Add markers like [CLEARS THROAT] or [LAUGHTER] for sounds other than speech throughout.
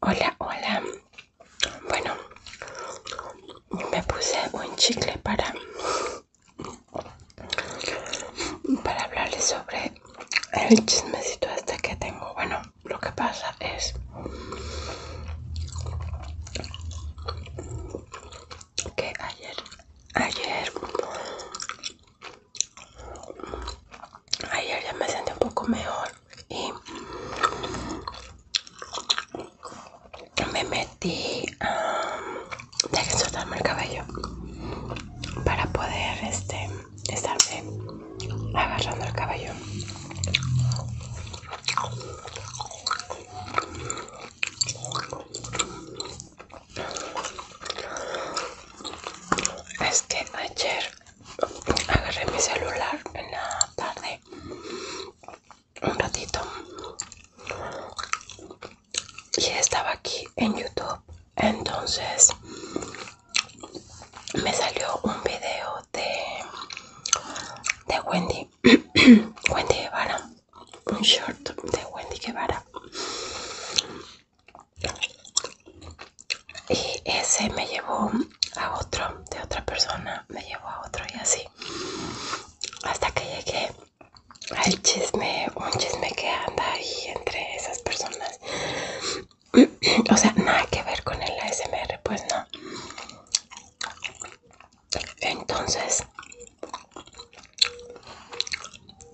Hola, hola. Bueno, me puse un chicle para para hablarles sobre el chismecito este que tengo. Bueno, lo que pasa es que ayer ayer ayer ya me sentí un poco mejor y me metí a soltarme el cabello para poder este estarme agarrando el cabello es que ayer agarré mi celular en la tarde un ratito y estaba aquí en YouTube. Entonces me salió un video de de Wendy, [CLEARS THROAT] Wendy Ivana un short de Wendy Guevara y ese me llevó a otro de otra persona me llevó a otro y así hasta que llegué al chisme un chisme que anda ahí entre esas personas [CLEARS THROAT] o sea nada que ver con el ASMR pues no entonces,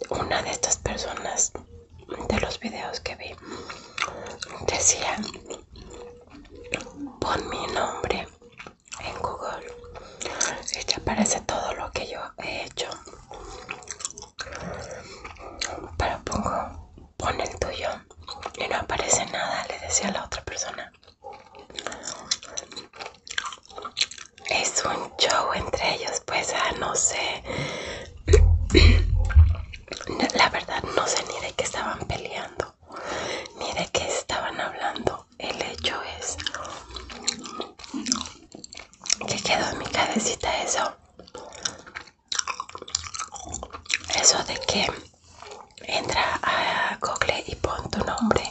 una de estas personas de los videos que vi decía, pon mi nombre en Google y te aparece todo lo que yo he hecho. Pero pongo, pon el tuyo y no aparece nada, le decía a la otra persona es un show entre ellos, pues ah, no sé. La verdad no sé ni de qué estaban peleando, ni de qué estaban hablando. El hecho es que quedó en mi cabecita eso. Eso de que entra a Google y pon tu nombre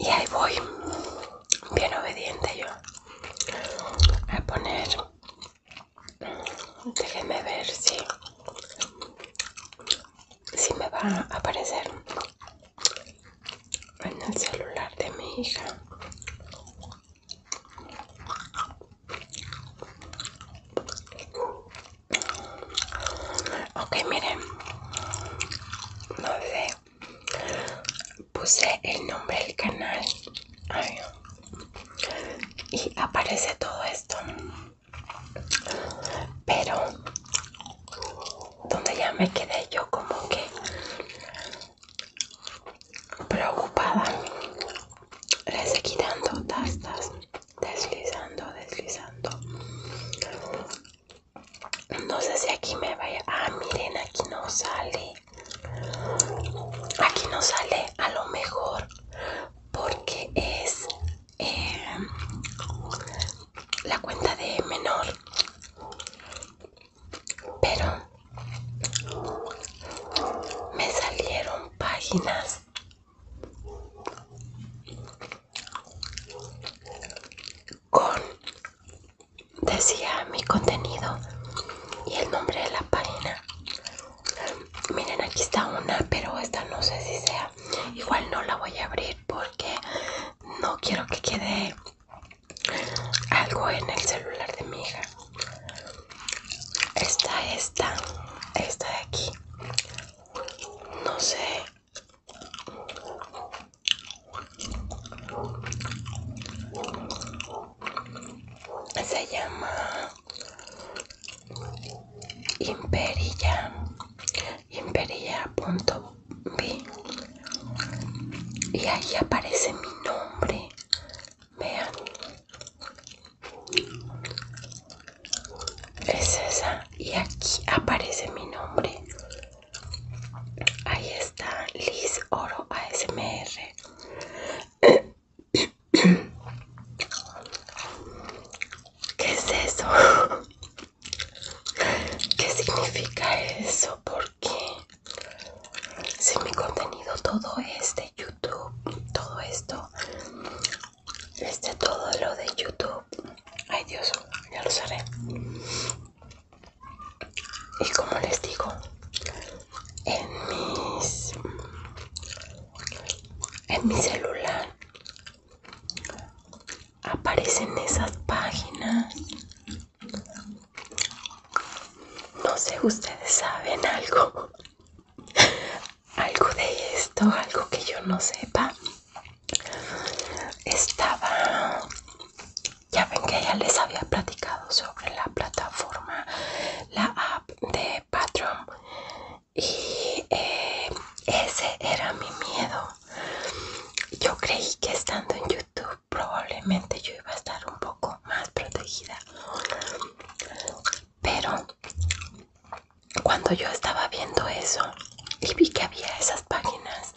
y ahí voy, bien obediente yo. a poner. Déjenme ver si. Si me va a aparecer en el celular de mi hija. Ok, miren. No sé. Puse el nombre del canal. Y aparece todo esto. Pero donde ya me quedé yo como que preocupada. Le seguí quitando tastas, deslizando, deslizando. No sé si aquí me vaya. Ah, miren, aquí no sale. Aquí no sale a lo mejor porque es eh, la cuenta de menor. Pero me salieron páginas con decía mi contenido y el nombre de la página miren aquí está una pero esta no sé si sea igual no la voy a abrir porque no quiero que quede algo en el celular de mi hija está esta esta de aquí no sé se llama imperilla imperilla.b y ahí aparece mi nombre vean es esa y aquí aparece mi nombre ahí está Liz Oro ASMR ¿Qué es eso? ¿Qué significa eso? ¿Por qué? Si mi contenido, todo es de YouTube, todo esto este todo lo de YouTube. Ay Dios, ya lo haré. Y como les digo, en mis en mi celular aparecen esas páginas. No sé, ustedes saben algo. [LAUGHS] Algo de esto, algo que yo no sepa estaba ya ven que ya les había platicado sobre la plataforma la app de Patreon y eh, ese era mi miedo yo creí que estando en YouTube probablemente yo iba a estar un poco más protegida pero cuando yo estaba viendo eso y vi que había esas páginas,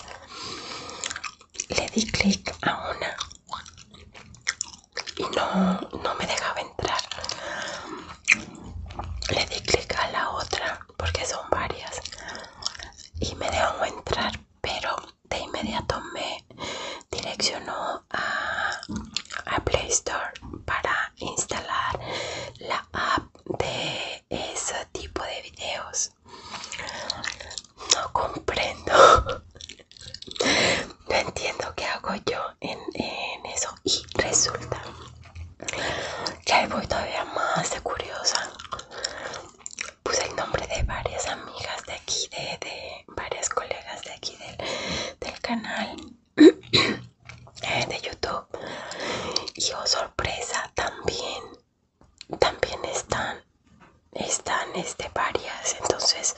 le di clic a una y no, no me dejaba entrar. Le di clic a la otra porque son varias y me dejó entrar, pero de inmediato me direccionó a, a Play Store para instalar la app de ese tipo de videos no comprendo no entiendo qué hago yo en, eso y resulta que voy todavía más de curiosa puse el nombre de varias amigas de aquí de, varias colegas de aquí del, del canal [CLEARS THROAT] Eh, de YouTube y oh sorpresa también también están están este varias entonces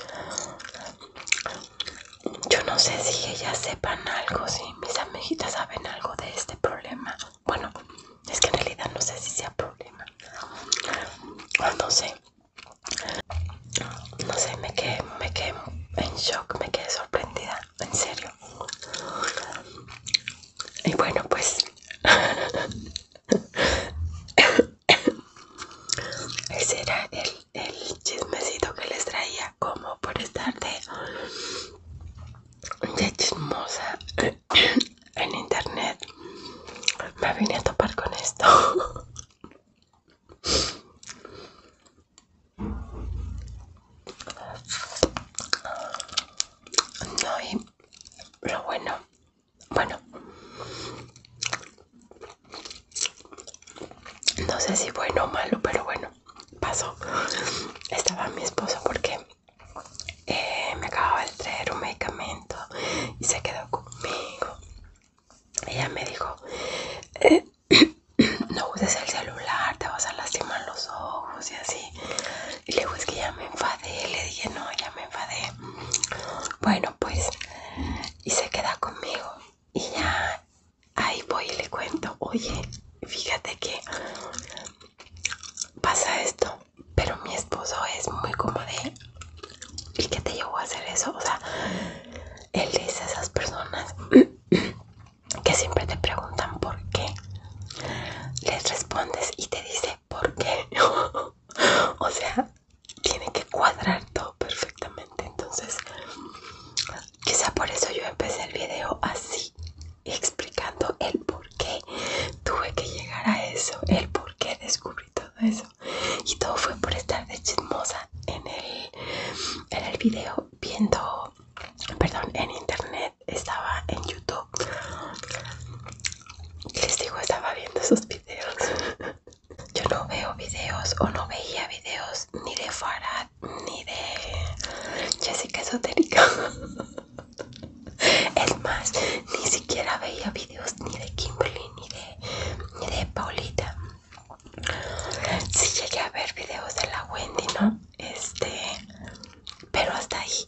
yo no sé si ellas sepan algo si mis amiguitas saben algo de este problema bueno es que en realidad no sé si sea problema no sé no sé me quedé me quedé en shock me quedé sorprendida en serio y bueno, pues [LAUGHS] ese era el, chismecito que les traía como por estar de, de chismosa [COUGHS] en internet. Me vine a topar con esto. [LAUGHS] No, y lo bueno, bueno, no sé si bueno o malo, pero bueno, pasó. Estaba mi esposo porque eh, me acababa de traer un medicamento y se quedó conmigo. Ella me dijo, eh, [COUGHS] no uses el celular, te vas a lastimar los ojos y así. Y le dije, es que ya me enfadé, le dije, no, ya me enfadé. Bueno, pues, y se queda conmigo. Y ya ahí voy y le cuento, oye, fíjate que pasa esto, pero mi esposo es muy como de, ¿y qué te llevó a hacer eso? O sea, él dice a esas personas que siempre te preguntan por qué, les respondes y te dice por qué. [LAUGHS] o sea, tiene que cuadrar todo perfectamente. Entonces, quizá por eso yo empecé el video así, explicando el por qué tuve que llegar a eso, el por qué descubrí todo eso. Y todo fue por estar de chismosa en el, en el video viendo perdón, en internet, estaba en YouTube. Les digo, estaba viendo esos videos. [LAUGHS] Yo no veo videos o no veía videos ni de Farad ni de Jessica Esotérica. [LAUGHS] Es más, ni siquiera veía videos ni de Kimberly ni de, Paulita. si llegué a ver videos de la Wendy, ¿no? este pero hasta ahí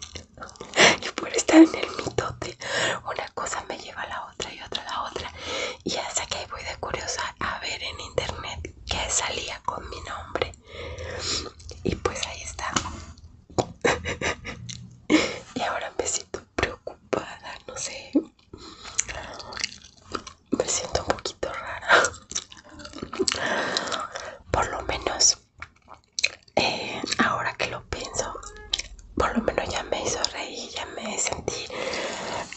[LAUGHS] yo por estar en el mitote una cosa me lleva a la otra y otra a la otra y hasta que voy de curiosa a ver en internet que salía con mi nombre y pues ahí está [LAUGHS] y ahora me siento preocupada no sé me siento un poquito rara. Por lo menos, eh, ahora que lo pienso, por lo menos ya me hizo reír, ya me sentí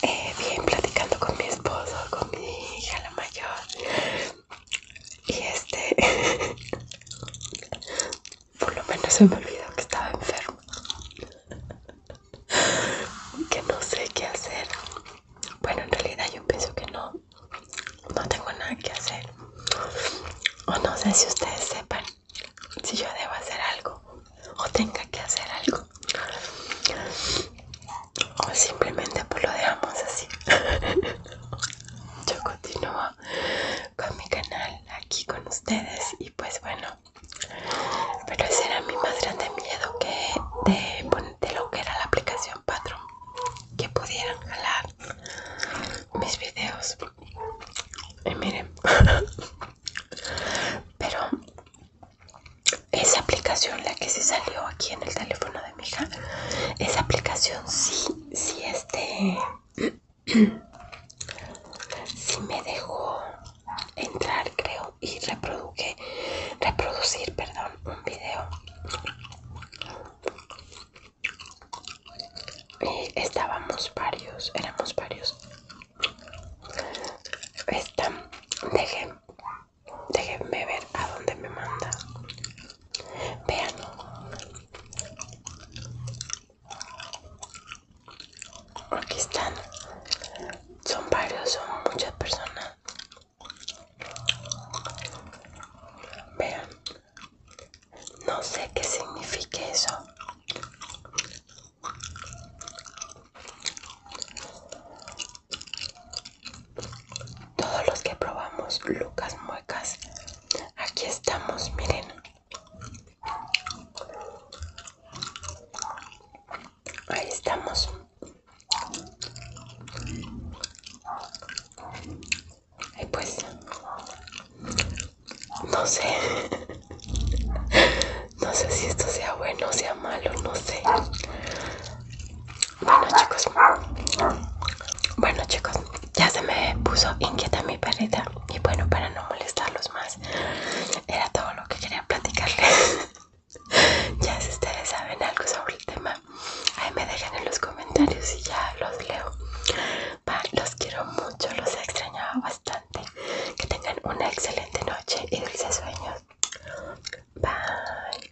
eh, bien platicando con mi esposo, con mi hija la mayor. Y este, [LAUGHS] por lo menos se me olvidó que estaba enfermo. [LAUGHS] Que no sé qué hacer bueno, en realidad yo pienso que no, no tengo nada que hacer. O no sé si ustedes sepan si yo debo hacer algo o tenga que hacer algo. O simplemente pues lo dejamos así. [LAUGHS] yo continúo con mi canal aquí con ustedes y pues bueno, pero ese era mi más grande miedo que de poner de lo que era la aplicación Patreon que pudieran jalar mis videos y miren [LAUGHS] pero esa aplicación la que se salió aquí en el teléfono de mi hija esa aplicación sí sí este [CLEARS THROAT] sí me dejó entrar creo y reproduqué reproducir, perdón, un video. Y estábamos varios, éramos varios. están... déjenme ver a dónde me manda. Vean. Aquí están. Son varios, son muchas personas. Vean, no sé qué significa eso. Todos los que probamos Lucas Muecas, aquí estamos, miren. Ahí estamos. Y pues, no sé, [LAUGHS] no sé si esto sea bueno o sea malo, no sé. Bueno chicos, bueno chicos, ya se me puso inquieta mi perrita y bueno, para no molestarlos más, era todo lo que quería platicarles. [LAUGHS] [LAUGHS] Ya si ustedes saben algo sobre el tema, ahí me dejan en los comentarios y ya los leo. los quiero mucho, los he extrañado bastante. Que tengan una excelente noche y dulces sueños. Bye.